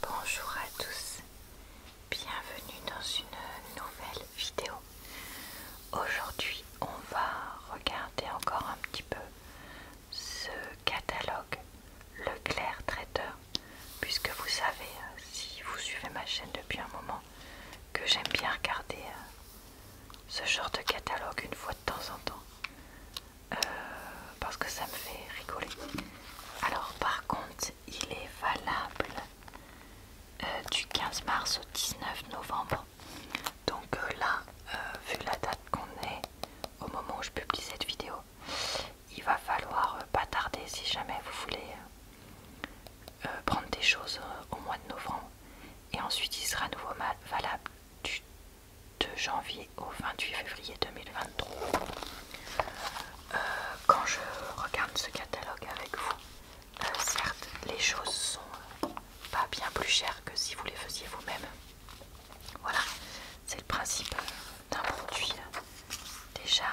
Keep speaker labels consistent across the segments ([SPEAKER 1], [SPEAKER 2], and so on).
[SPEAKER 1] Bonjour à tous, bienvenue dans une nouvelle vidéo. Aujourd'hui on va regarder encore un petit peu ce catalogue Leclerc Traiteur, puisque vous savez, si vous suivez ma chaîne depuis un moment, que j'aime bien regarder euh, ce genre de catalogue une fois de temps en temps. Euh, parce que ça me fait rigoler. Alors par contre, il est valable euh, du 15 mars au 19 novembre. Donc euh, là, vu la date qu'on est au moment où je publie cette vidéo, il va falloir pas tarder si jamais vous voulez prendre des choses au mois de novembre. Et ensuite, il sera à nouveau valable du de janvier au 28 février 2023. Euh, quand je regarde ce catalogue avec vous, euh, certes, les choses sont pas bien plus chères que si vous les faisiez vous-même. Voilà, c'est le principe d'un produit déjà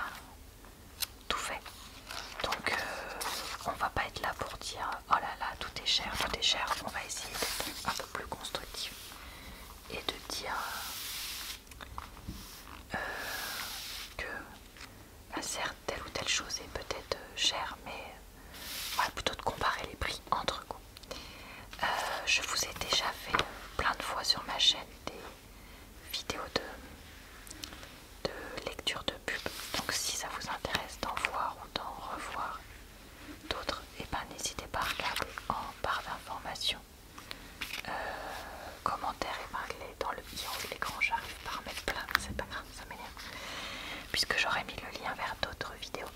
[SPEAKER 1] tout fait. Donc, on euh, on va pas être là pour dire oh là là, tout est cher, tout est cher. On va essayer d'être un peu plus constructif et de dire euh, que bah, certes telle ou telle chose est peut-être euh, chère, mais plutôt de comparer les prix entre goûts. Euh, je vous ai déjà fait plein de fois sur ma chaîne des vidéos de, de lecture de pub, donc si ça vous intéresse d'en voir ou d'en revoir d'autres, et eh ben, n'hésitez pas à regarder en barre d'information euh, commentaire commentaires et dans le petit écran J'arrive pas à remettre plein, c'est pas grave, ça m'énerve. Puisque j'aurais mis le lien vers d'autres vidéos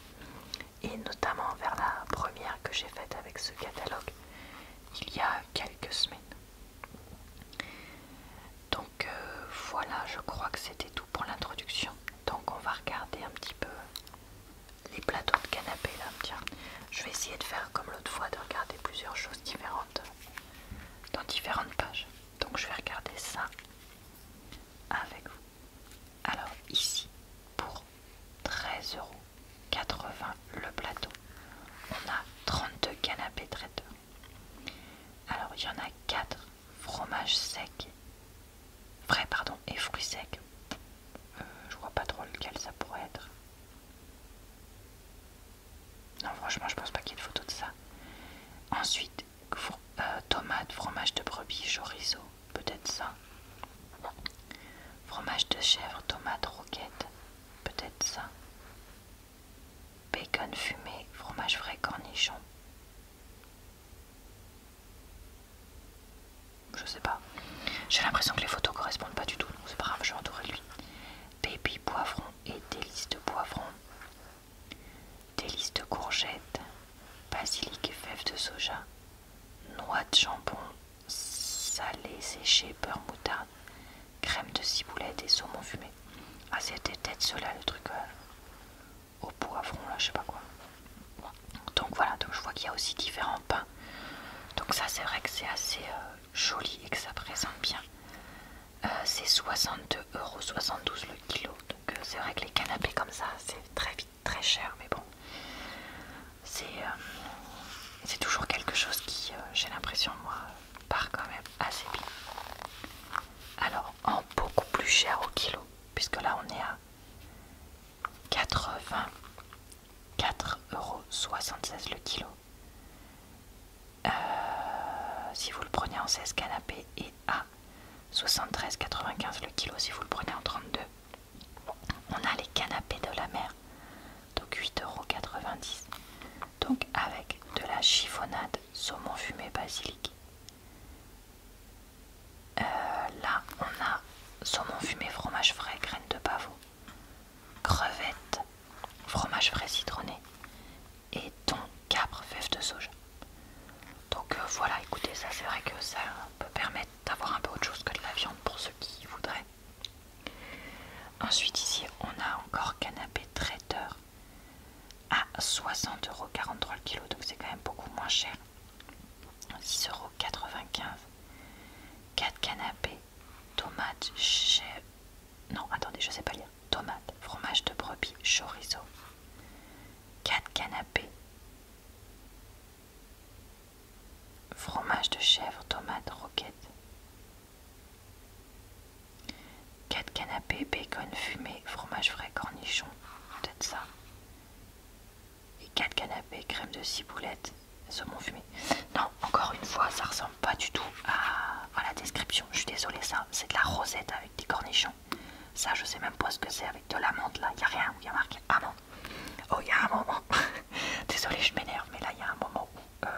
[SPEAKER 1] et notamment vers la première que j'ai faite avec ce catalogue il y a quelques semaines. Donc euh, voilà, je crois que c'était tout pour l'introduction. Donc on va regarder un petit peu les plateaux de canapés là, tiens. Je vais essayer de faire comme l'autre fois, de regarder plusieurs choses différentes dans différentes pages. Donc je vais regarder ça avec vous. Alors ici, pour 13,80€ le plateau, on a 32 canapés traiteurs. Alors il y en a 4 fromages secs, vrai pardon, et fruits secs. Euh, je vois pas trop lequel ça pourrait être. Non, franchement, je pense pas qu'il y ait de photo de ça. Ensuite, euh, tomate, fromage de brebis, chorizo, peut-être ça. Fromage de chèvre, tomate, roquette, peut-être ça. Bacon fumé, fromage frais, cornichon. Je sais pas. J'ai l'impression que les photos correspondent pas du tout. donc C'est pas grave, je vais entourer lui. Baby poivron et délices de poivron. Délices de courgettes. Basilic et fèves de soja. Noix de jambon. Salé séché, beurre moutarde. Crème de ciboulette et saumon fumé. Ah c'était peut-être cela le truc euh, au poivron là, je sais pas quoi. Donc voilà, donc je vois qu'il y a aussi différents pains. Donc ça c'est vrai que c'est assez euh, joli et que ça présente bien. Euh, c'est 62,72€ le kilo. Donc euh, c'est vrai que les canapés comme ça, c'est très vite très cher, mais bon. C'est toujours quelque chose qui, j'ai l'impression, moi, part quand même assez bien. Alors, en beaucoup plus cher au kilo, puisque là on est à 80 4,76€ euh, le kilo. si vous le prenez en 16 canapés et à 73,95 le kilo si vous le prenez en 32. On a les canapés de la mer, donc 8,90€. Donc avec de la chiffonnade saumon fumé basilic. Euh, là, on a saumon fumé, fromage frais, graines de pavot, crevettes, fromage frais citronné et ton capre, fèves de soja. Donc euh, voilà, écoutez, ça c'est vrai que ça peut permettre d'avoir un peu autre chose que de la viande pour ceux qui voudraient. Ensuite ici, on a encore canapé traiteur à 60,43€ le kilo, donc c'est quand même beaucoup moins cher 6,95€. 4 canapés, tomates, chèvres Non, attendez, je sais pas lire. Tomates, fromage de brebis, chorizo. 4 canapés. Fromage de chèvre, tomates, roquette. 4 canapés, bacon fumé, fromage frais, cornichon. Peut-être ça et 4 canapés crème de ciboulette saumon fumé. Non, encore une fois, ça ressemble pas du tout à, la description. Je suis désolée, ça, c'est de la rosette avec des cornichons. Ça, je sais même pas ce que c'est avec de l'amande là. Il n'y a rien où il y a marqué amande. Oh, il y a un moment. désolée, je m'énerve, mais là, il y a un moment où euh,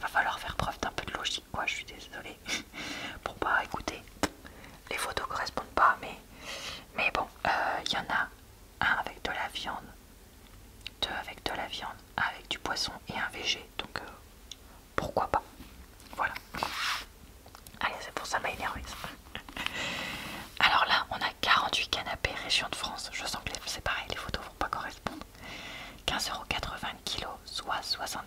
[SPEAKER 1] va falloir faire preuve d'un peu de logique, quoi. Je suis désolée. pour pas écouter. Les photos correspondent pas, mais, mais bon, il euh, y en a un avec de la viande, deux avec de la viande, un avec du poisson et un végé. Donc euh, pourquoi pas Voilà. Allez, c'est pour ça m'a énervé. Alors là, on a 48 canapés région de France. Je sens que c'est pareil, les photos vont pas correspondre. 15,80€ kg, soit 65,83€.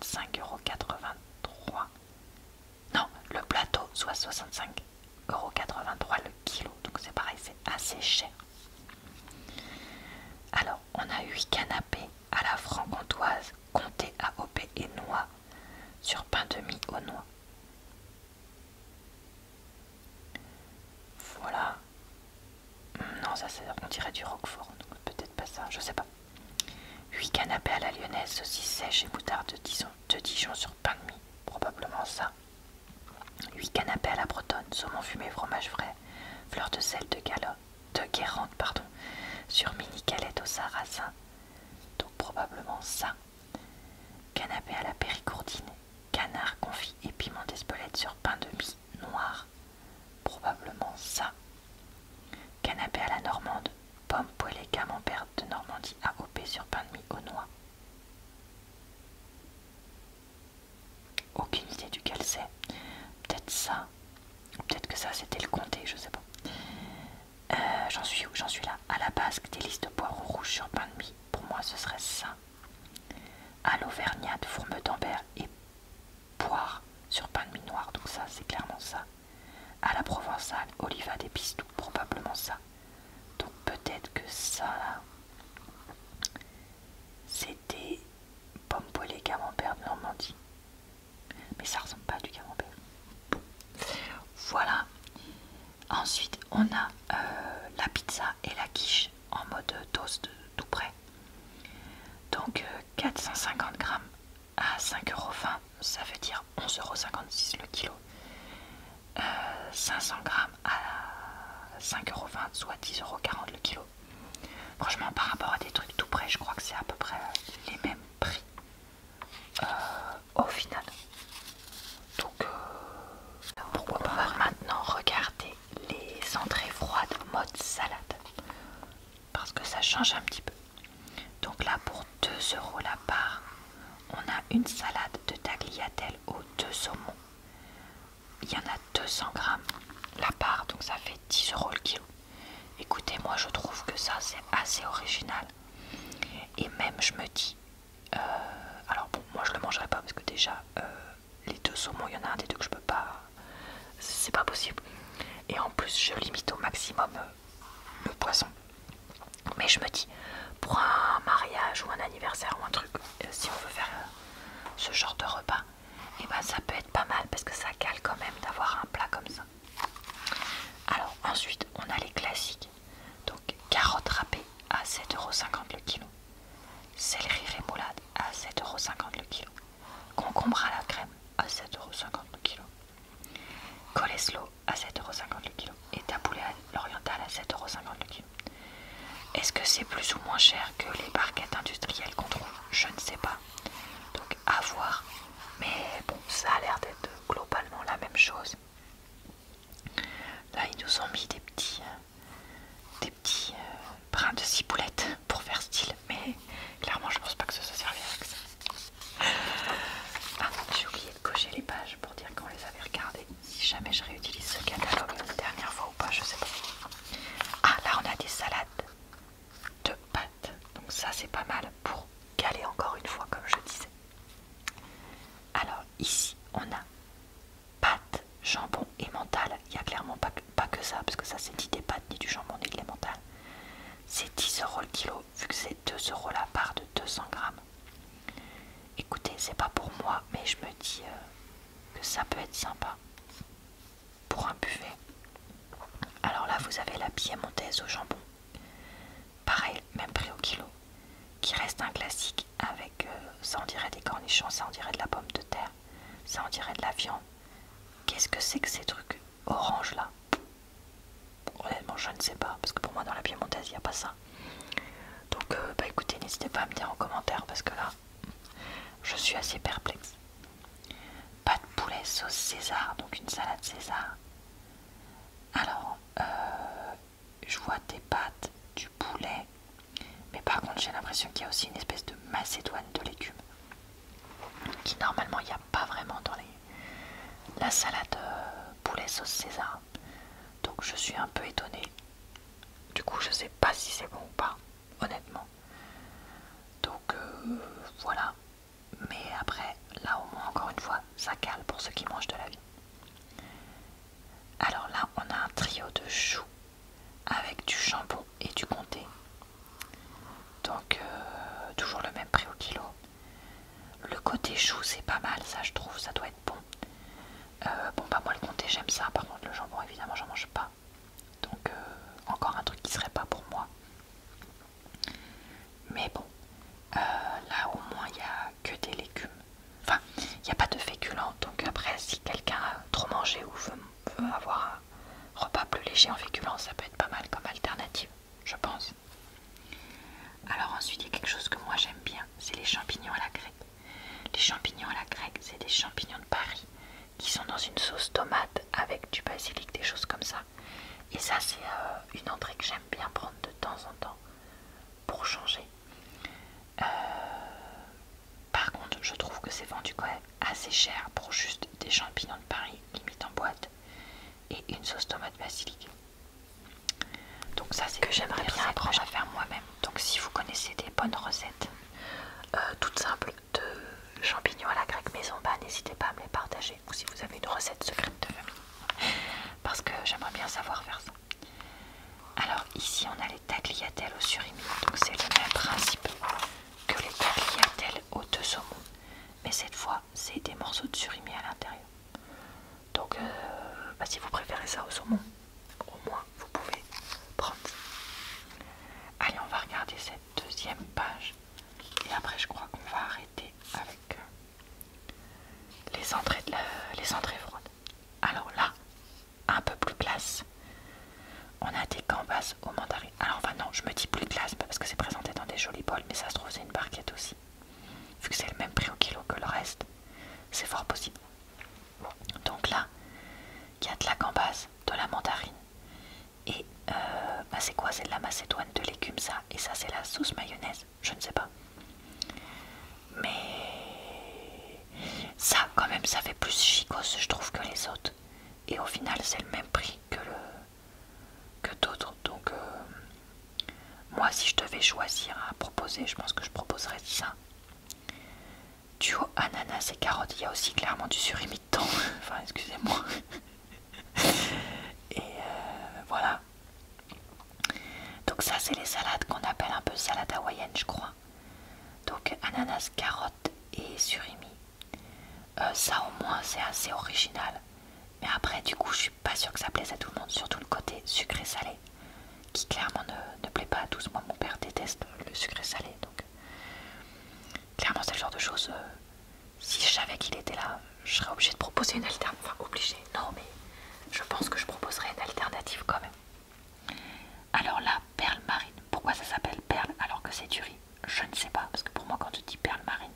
[SPEAKER 1] Non, le plateau, soit 65. 1,83€ le kilo, donc c'est pareil, c'est assez cher. Alors, on a 8 canapés à la franc-comtoise, comté OP et noix, sur pain de mie au noix. Voilà. Hmm, non, ça c'est, on dirait du roquefort, donc peut-être pas ça, je sais pas. 8 canapés à la lyonnaise, aussi, sèche et boudard de Dijon, de Dijon sur pain de mie, probablement ça. 8 canapés à la bretonne, saumon fumé, fromage frais, fleur de sel de, guérante guérande, pardon, sur mini calette au sarrasin, donc probablement ça. Canapé à la péricourdine, canard confit et piment d'espelette sur pain de mie noir, probablement ça. Canapé à la normande, pommes poêlées camembert de Normandie AOP sur pain de mie aux noix, aucune idée duquel c'est. Peut-être ça. Peut-être que ça c'était le comté, je sais pas. Euh, j'en suis où J'en suis là. À la basque, des listes de poireaux rouges sur pain de mie. Pour moi, ce serait ça. À l'Auvergnat, fourme d'ambert et poire sur pain de mie noir. Donc ça, c'est clairement ça. À la provençale, oliva des pistou. Probablement ça. Donc peut-être que ça, c'était pommes poêlée camembert de Normandie. Mais ça ressemble pas à du camembert. Voilà. Ensuite, on a euh, la pizza et la quiche en mode toast tout près. Donc 450 euh, grammes à 5,20€, ça veut dire 11,56€ le kilo. 500 grammes à 5,20€ soit 10,40€ le kilo. Franchement, par rapport à des trucs tout près, je crois que c'est à peu près les mêmes prix euh, au final. Donc, euh, pourquoi pas maintenant regarder les entrées froides mode salade parce que ça change un petit peu. Donc là, pour 2€ la part, on a une salade de tagliatelle aux deux saumons. Il y en a 200 grammes la part, donc ça fait 10 euros le kilo. Écoutez, moi je trouve que ça c'est assez original. Et même je me dis, euh, alors bon, moi je le mangerai pas parce que déjà euh, les deux saumons, il y en a un des deux que je peux pas, c'est pas possible. Et en plus, je limite au maximum euh, le poisson. Mais je me dis, pour un mariage ou un anniversaire ou un truc, euh, si on veut faire euh, ce genre de repas, et eh ben ça peut être pas mal parce que ça cale quand même d'avoir un plat comme ça. Alors ensuite, on a les classiques. Donc carottes râpées à 7,50€ le kilo. Céleri rémoulade à 7,50€ le kilo. Concombre à la crème à 7,50€ le kilo. Coleslaw à 7,50€ le kilo et taboulé poulet à l'oriental à 7,50€ le kilo. Est-ce que c'est plus ou moins cher que les barquettes industrielles qu'on trouve Je ne sais pas. Donc à voir. Mais bon, ça a l'air d'être globalement la même chose. Là, ils nous ont mis des petits, euh, des petits euh, brins de ciboulette pour faire style. Mais clairement, je pense pas que ça se servira avec ça. Ah, j'ai oublié cocher les pages pour dire qu'on les avait regardées. Si jamais je réutilise ce catalogue une dernière fois ou pas, je sais pas. Ah, là on a des salades de pâtes. Donc ça c'est pas mal pour caler encore une fois comme je disais. Alors ici on a pâtes, jambon et mentale. Il n'y a clairement pas que, ça parce que ça c'est ni des pâtes, ni du jambon, ni de mentale. C'est 10 euros le kilo vu que c'est 2 euros la part de 200 grammes. Écoutez, c'est pas pour moi, mais je me dis euh, que ça peut être sympa pour un buffet. Alors là, vous avez la piémontaise au jambon. Pareil, même prix au kilo. Qui reste un classique avec, euh, ça on dirait des cornichons, ça on dirait de la pomme de terre, ça on dirait de la viande. Qu'est-ce que c'est que ces trucs orange là Honnêtement, je ne sais pas, parce que pour moi, dans la Piémontaise, il n'y a pas ça. Donc, euh, bah écoutez, n'hésitez pas à me dire en commentaire, parce que là, je suis assez perplexe. Pas de poulet sauce César, donc une salade César. Alors, euh, je vois des pâtes, du poulet, mais par contre, j'ai l'impression qu'il y a aussi une espèce de macédoine de légumes qui normalement il n'y a pas vraiment dans les la salade euh, poulet sauce César. Donc je suis un peu étonnée. Du coup, je sais pas si c'est bon ou pas, honnêtement. Donc euh, voilà. Mais après, là au moins, encore une fois, ça cale pour ceux qui mangent de la vie. Alors là, on a un trio de choux avec du jambon et du comté. Donc, euh, toujours le même prix au kilo. Le côté chou, c'est pas mal, ça je trouve, ça doit être bon. Euh, bon, pas bah, moi le comté, j'aime ça. Par contre, le jambon, évidemment, j'en mange pas. Donc, euh, encore un truc qui serait pas pour moi. Mais bon, euh, là au moins, il n'y a que des légumes. Enfin, il n'y a pas de féculents. Donc, après, si quelqu'un a trop mangé ou veut, avoir un repas plus léger en féculents, ça peut être pas mal comme alternative je pense. Alors ensuite, il y a quelque chose que moi j'aime bien, c'est les champignons à la grecque. Les champignons à la grecque, c'est des champignons de Paris qui sont dans une sauce tomate avec du basilic, des choses comme ça. Et ça, c'est euh, une entrée que j'aime bien prendre de temps en temps pour changer. Euh, par contre, je trouve que c'est vendu quand même assez cher pour juste des champignons de Paris, limite en boîte, et une sauce tomate basilic. Donc ça c'est que j'aimerais bien apprendre à faire moi-même. Donc si vous connaissez des bonnes recettes euh, toutes simples de champignons à la grecque maison, bas, n'hésitez pas à me les partager. Ou si vous avez une recette secrète de famille. Parce que j'aimerais bien savoir faire ça. Alors ici on a les tagliatelles au surimi. Donc c'est le même principe que les tagliatelles au deux Mais cette fois c'est des morceaux de surimi à l'intérieur. Donc, euh, bah, si vous préférez ça au saumon, au moins vous pouvez prendre Allez, on va regarder cette deuxième page. Et après, je crois qu'on va arrêter avec euh, les, entrées de les entrées froides. Alors là, un peu plus classe. On a des gambas au mandarin. Alors, enfin, non, je me dis plus classe parce que c'est présenté dans des jolis bols, mais ça se trouve, c'est une barquette aussi. Vu que c'est le même prix au kilo que le reste, c'est fort possible. Donc là, il y a de la gambas, de la mandarine. Et euh, bah, c'est quoi C'est de la macédoine de légumes, ça. Et ça, c'est la sauce mayonnaise. Je ne sais pas. Mais ça, quand même, ça fait plus chicose, je trouve, que les autres. Et au final, c'est le même prix que, le... que d'autres. Donc, euh, moi, si je devais choisir à proposer, je pense que je proposerais ça. Duo ananas et carottes, il y a aussi clairement du surimi dedans. enfin, excusez-moi. et euh, voilà. Donc ça, c'est les salades qu'on appelle un peu salade hawaïenne, je crois. Donc ananas, carottes et surimi. Euh, ça au moins c'est assez original. Mais après du coup je suis pas sûr que ça plaise à tout le monde, surtout le côté sucré-salé, qui clairement ne, plaît pas à tous. Moi, mon père déteste le sucré-salé, donc clairement, c'est le genre de choses. Euh, si je savais qu'il était là, je serais obligée de proposer une alternative. Enfin, obligée, non, mais je pense que je proposerais une alternative quand même. Alors là, perle marine. Pourquoi ça s'appelle perle alors que c'est du riz Je ne sais pas, parce que pour moi, quand tu dis perle marine,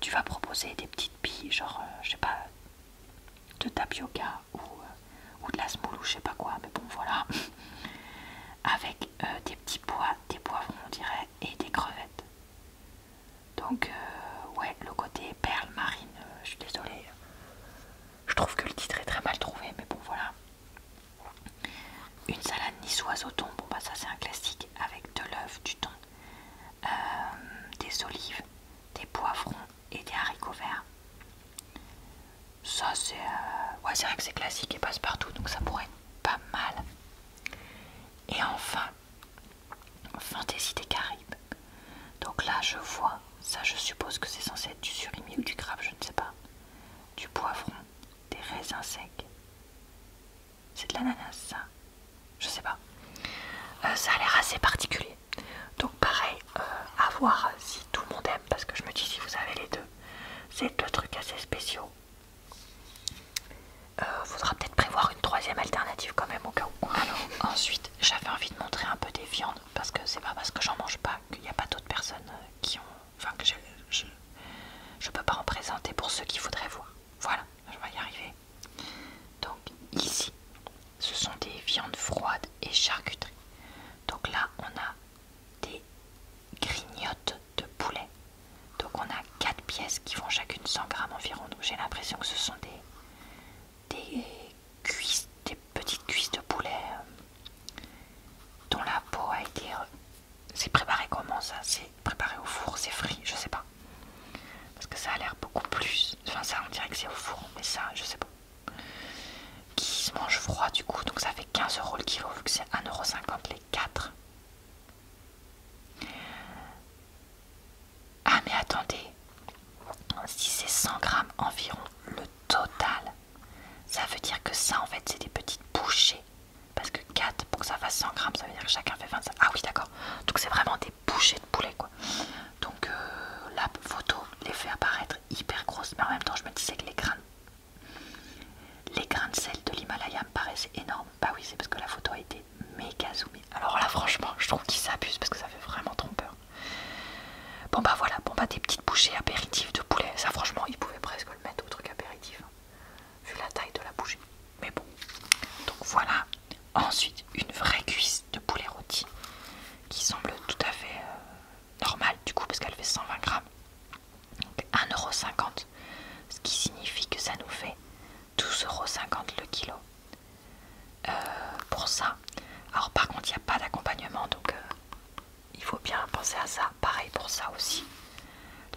[SPEAKER 1] tu vas proposer des petites billes, genre, euh, je sais pas, de tapioca euh, ou, de la semoule ou je sais pas quoi, mais bon voilà. Avec euh, des petits pois, des poivrons on dirait, et des crevettes. Donc, ouais, le côté perle marine, je suis désolée. Je trouve que le titre est très mal trouvé, mais bon voilà. Une salade niçoise au thon, bon bah ça c'est un classique, avec de l'œuf, du thon, euh, des olives, des poivrons et des haricots verts. Ça c'est... Euh, ouais c'est vrai que c'est classique et passe partout donc ça pourrait être pas mal. Et enfin, fantaisie des caribes Donc là je vois, ça je suppose que c'est censé être du surimi ou du crabe, je ne sais pas. Du poivron, des raisins secs, c'est de l'ananas, ça Je sais pas. Euh, ça a l'air assez particulier. Donc, pareil, euh, à voir si tout le monde aime, parce que je me dis si vous avez les deux. C'est deux trucs assez spéciaux. Euh, faudra peut-être prévoir une troisième alternative quand même au cas où. ensuite j'avais envie de montrer un peu des viandes parce que c'est pas parce que j'en mange pas qu'il n'y a pas d'autres personnes euh, qui ont. Enfin que je, je, peux pas en présenter pour ceux qui voudraient voir. Voilà je vais y arriver. Donc ici, ce sont des viandes froides et charcuteries. Donc là, on a des grignotes de poulet. Donc on a quatre pièces qui font chacune 100 grammes environ. Donc j'ai l'impression que ce sont des, petites cuisses de poulet euh, dont la peau a été... Euh, c'est préparé comment ça C'est préparé au four, c'est frit, je sais pas. Parce que ça a l'air beaucoup plus. Enfin, ça, on dirait que c'est au four, mais ça, je sais pas. Qui se mange froid du coup, donc ça fait 15 euros le kilo vu que c'est 1,50€ les 4. Ah, mais attendez, si c'est 100 grammes environ le total, ça veut dire que ça en fait c'est des petites bouchées. Parce que 4 pour que ça fasse 100 grammes, ça veut dire que chacun fait 25. Ah oui, d'accord. Donc c'est vraiment des bouchées de poulet quoi. Donc euh, la photo les fait apparaître hyper grosses, mais en même temps je me disais que les grains, les grains de sel de l'Himalaya me paraissaient énormes. Bah oui, c'est parce que la photo a été méga zoomée. Alors là franchement, je trouve qu'ils s'abusent parce que ça fait vraiment trompeur. Bon bah voilà, bon bah des petites bouchées apéritifs de poulet, ça franchement ils pouvaient presque le mettre au truc apéritif. Hein vu la taille de la bougie. Mais bon, donc voilà. Ensuite, une vraie cuisse de poulet rôti qui semble tout à fait euh, normal du coup parce qu'elle fait 120 grammes. Donc 1,50€, ce qui signifie que ça nous fait 12,50€ le kilo euh, pour ça. Alors par contre, il n'y a pas d'accompagnement, donc euh, il faut bien penser à ça. Pareil pour ça aussi.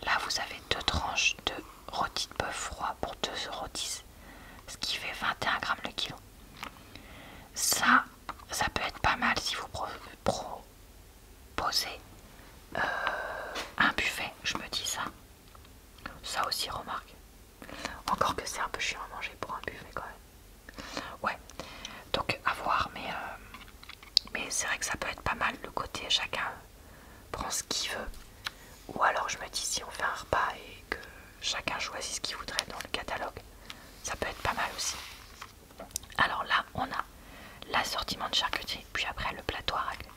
[SPEAKER 1] Là, vous avez deux tranches de rôti de bœuf froid pour 2,10€, ce qui fait 21 grammes le kilo. Ça, ça peut être pas mal si vous proposez euh, un buffet, je me dis ça. Ça aussi, remarque. Encore que c'est un peu chiant à manger pour un buffet quand même. Ouais, donc à voir, mais, euh, mais c'est vrai que ça peut être pas mal le côté chacun prend ce qu'il veut. Ou alors je me dis si on fait un repas et que chacun choisit ce qu'il voudrait dans le catalogue, ça peut être pas mal aussi. Alors là, on a l'assortiment de charcuterie, puis après le plateau à raclette.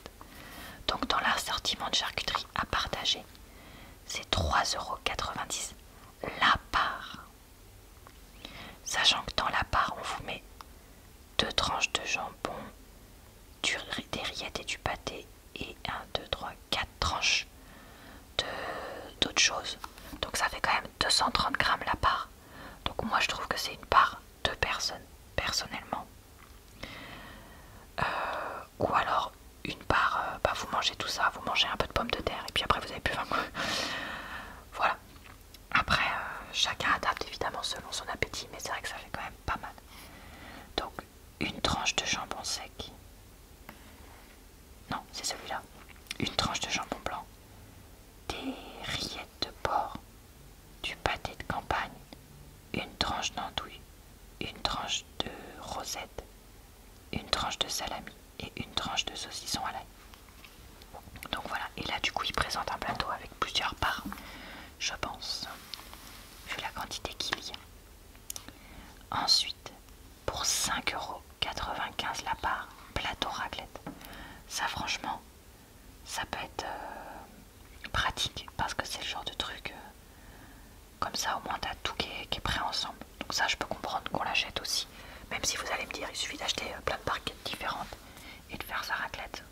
[SPEAKER 1] Donc dans l'assortiment de charcuterie à partager, c'est 3,90€ la part. Sachant que dans la part, on vous met 2 tranches de jambon, des rillettes et du pâté, et 1, 2, 3, 4 tranches d'autres choses. Donc ça fait quand même 230 grammes la part. Donc moi je trouve que c'est une part de personne, personnellement. Euh, ou alors une part, euh, bah, vous mangez tout ça, vous mangez un peu de pommes de terre et puis après vous avez plus faim. voilà. Après, euh, chacun adapte évidemment selon son appétit, mais c'est vrai que ça fait quand même pas mal. Donc une tranche de jambon sec. Non, c'est celui-là. Une tranche de jambon blanc. Des rillettes de porc. Du pâté de campagne. Une tranche d'andouille. Une tranche de rosette. Une tranche de salami. Et une tranche de saucisson à l'ail. Donc voilà. Et là du coup il présente un plateau avec plusieurs parts je pense, vu la quantité qu'il y a. Ensuite, pour 5,95€ la part, plateau raclette. Ça, franchement, ça peut être euh, pratique parce que c'est le genre de truc. Euh, comme ça, au moins, t'as tout qui est, prêt ensemble. Donc, ça, je peux comprendre qu'on l'achète aussi. Même si vous allez me dire, il suffit d'acheter euh, plein de parquets différentes et de faire sa raclette.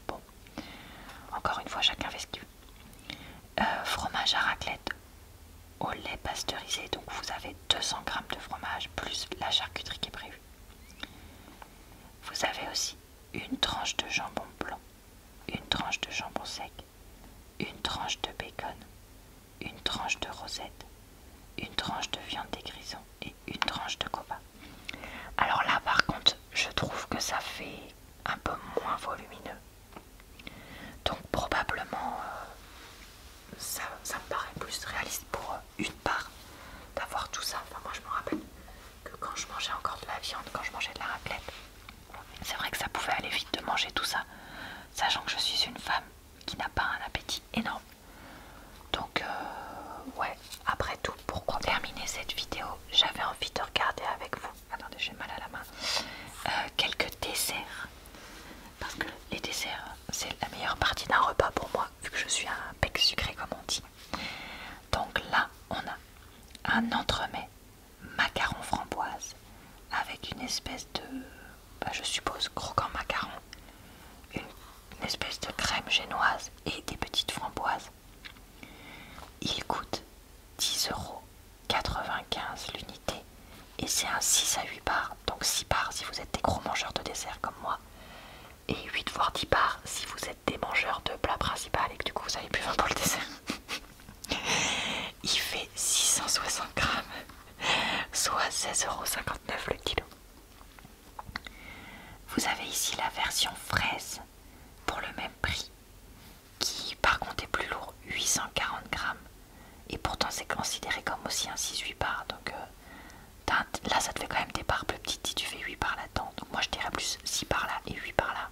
[SPEAKER 1] Encore une fois, chacun fait ce euh, fromage à raclette au lait pasteurisé, donc vous avez 200 grammes de fromage plus la charcuterie qui est prévue. Vous avez aussi une tranche de jambon blanc, une tranche de jambon sec, une tranche de bacon, une tranche de rosette, une tranche de viande des grisons et une tranche de coba. Alors là, par contre, je trouve que ça fait un peu moins volumineux. Donc probablement euh, ça, ça me paraît plus réaliste pour euh, une part d'avoir tout ça. moi je me rappelle que quand je mangeais encore de la viande, quand je mangeais de la raclette, c'est vrai que ça pouvait aller vite de manger tout ça, sachant que je suis une femme qui n'a pas un appétit énorme. Donc euh, ouais, après tout, pour terminer cette vidéo, j'avais envie de regarder avec vous, attendez j'ai mal à la main, euh, quelques desserts. Parce que les desserts, c'est la meilleure partie d'un repas pour moi, vu que je suis un pec sucré comme on dit. Donc là, on a un entremet macaron framboise avec une espèce de, bah, je suppose, croquant macaron, une espèce de crème génoise et des petites framboises il coûte 10,95€ l'unité et c'est un 6 à 8 parts, donc 6 parts si vous êtes des gros mangeurs de dessert comme moi, et 8 voire 10 parts si vous êtes des mangeurs de plat principal et que du coup vous avez plus 20 pour le dessert. Il fait 660 grammes, soit 16,59€ le kilo. Vous avez ici la version fraise pour le même prix qui par contre est plus lourd, 840 grammes, et pourtant c'est considéré comme aussi un 6-8 bar, donc euh, là ça te fait quand même des parts plus petites si tu fais 8 par là-dedans, donc moi je dirais plus 6 par là et 8 par là,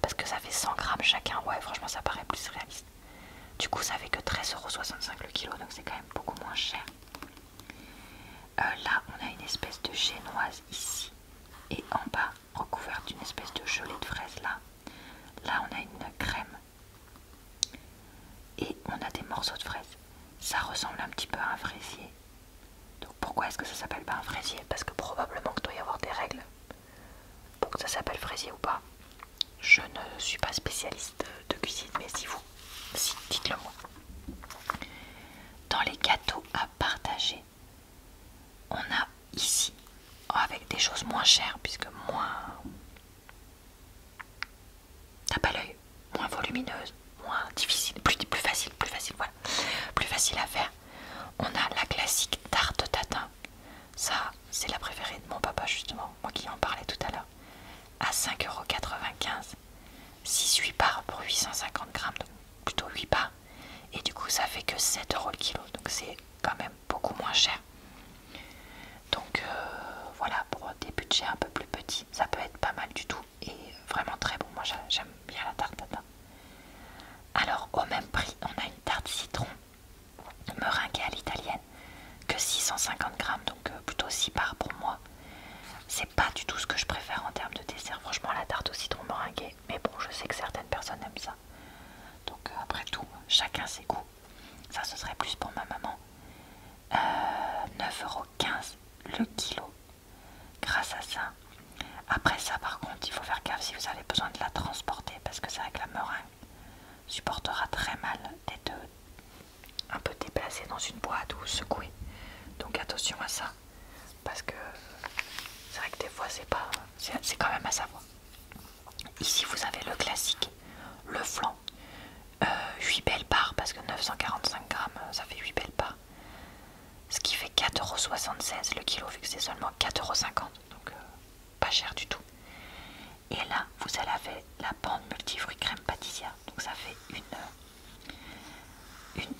[SPEAKER 1] parce que ça fait 100 grammes chacun, ouais franchement ça paraît plus réaliste. Du coup ça fait que 13,65€ le kilo, donc c'est quand même beaucoup moins cher. Euh, là on a une espèce de génoise ici, et en bas recouverte d'une espèce de gelée de fraise là. Là on a une crème et on a des morceaux de fraise. Ça ressemble un petit peu à un fraisier. Donc pourquoi est-ce que ça s'appelle pas un fraisier Parce que probablement que doit y avoir des règles pour que ça s'appelle fraisier ou pas. Je ne suis pas spécialiste de cuisine, mais si vous, si, dites-le moi. Dans les gâteaux à partager, on a ici avec des choses moins chères puisque moins t'as pas l'œil moins volumineuse moins difficile plus, facile plus facile voilà plus facile à faire on a la classique tarte tatin ça c'est la préférée de mon papa justement moi qui en parlais tout à l'heure à 5,95€, 6 8 parts pour 850 grammes, donc plutôt 8 parts et du coup, ça fait que 7 euros le kilo, donc c'est quand même beaucoup moins cher. Donc euh, voilà, pour des budgets un peu plus petits, ça peut être pas mal du tout et vraiment très bon. Moi j'aime bien la tarte Alors, au même prix, on a une tarte citron meringuée à l'italienne que 650 grammes, donc euh, plutôt 6 parts pour moi. C'est pas du tout ce que je préfère en termes de dessert. Franchement, la tarte au citron meringuée, mais bon, je sais que certaines personnes aiment ça. Donc euh, après tout, chacun ses goûts. Ça, ce serait plus pour ma maman. Euh, euros 9,15€ le kilo. Grâce à ça. Après ça, par contre, il faut faire gaffe si vous avez besoin de la transporter, parce que ça, vrai la meringue supportera très mal d'être un peu déplacé dans une boîte ou secouée. Donc attention à ça parce que c'est vrai que des fois c'est pas c'est quand même à savoir. Ici vous avez le classique, le flan, 8 euh, belles parts parce que 945 grammes ça fait 8 belles parts, ce qui fait 4,76€ le kilo vu que c'est seulement 4,50€, donc euh, pas cher du tout. Et là vous avez la bande multifruit crème pâtissière, donc ça fait une, une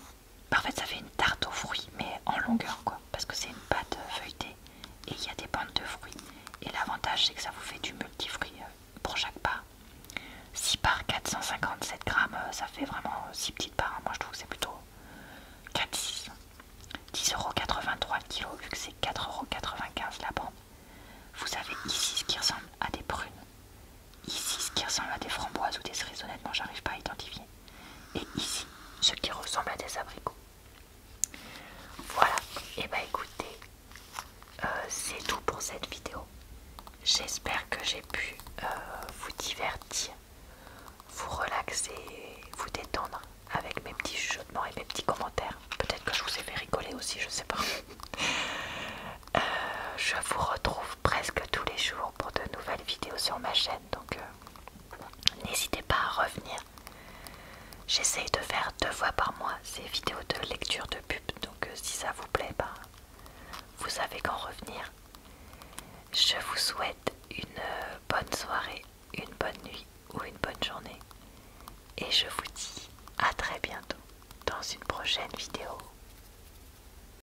[SPEAKER 1] Parfait bah, ça fait une tarte aux fruits mais en longueur quoi parce que c'est une pâte euh, feuilletée et il y a des bandes de fruits et l'avantage c'est que ça vous fait du multifruit euh, pour chaque part 6 par 457 grammes euh, ça fait vraiment 6 petites parts hein. moi je trouve que c'est plutôt 4,6 euros le kilo vu que c'est 4,95 la bande vous avez ici ce qui ressemble à des prunes Ici, ce qui ressemble à des framboises ou des cerises, honnêtement, j'arrive pas à identifier. Et ici, ce qui ressemble à des abricots. Voilà, et eh bah ben, écoutez, euh, c'est tout pour cette vidéo. J'espère que j'ai pu euh, vous divertir, vous relaxer, vous détendre avec mes petits chuchotements et mes petits commentaires. Peut-être que je vous ai fait rigoler aussi, je sais pas. Euh, je vous retrouve presque tous les jours pour de nouvelles vidéo vidéos sur ma chaîne, donc euh, n'hésitez pas à revenir. J'essaye de faire deux fois par mois ces vidéos de lecture de pub, donc euh, si ça vous plaît, bah, vous savez quand revenir. Je vous souhaite une euh, bonne soirée, une bonne nuit ou une bonne journée. Et je vous dis à très bientôt dans une prochaine vidéo.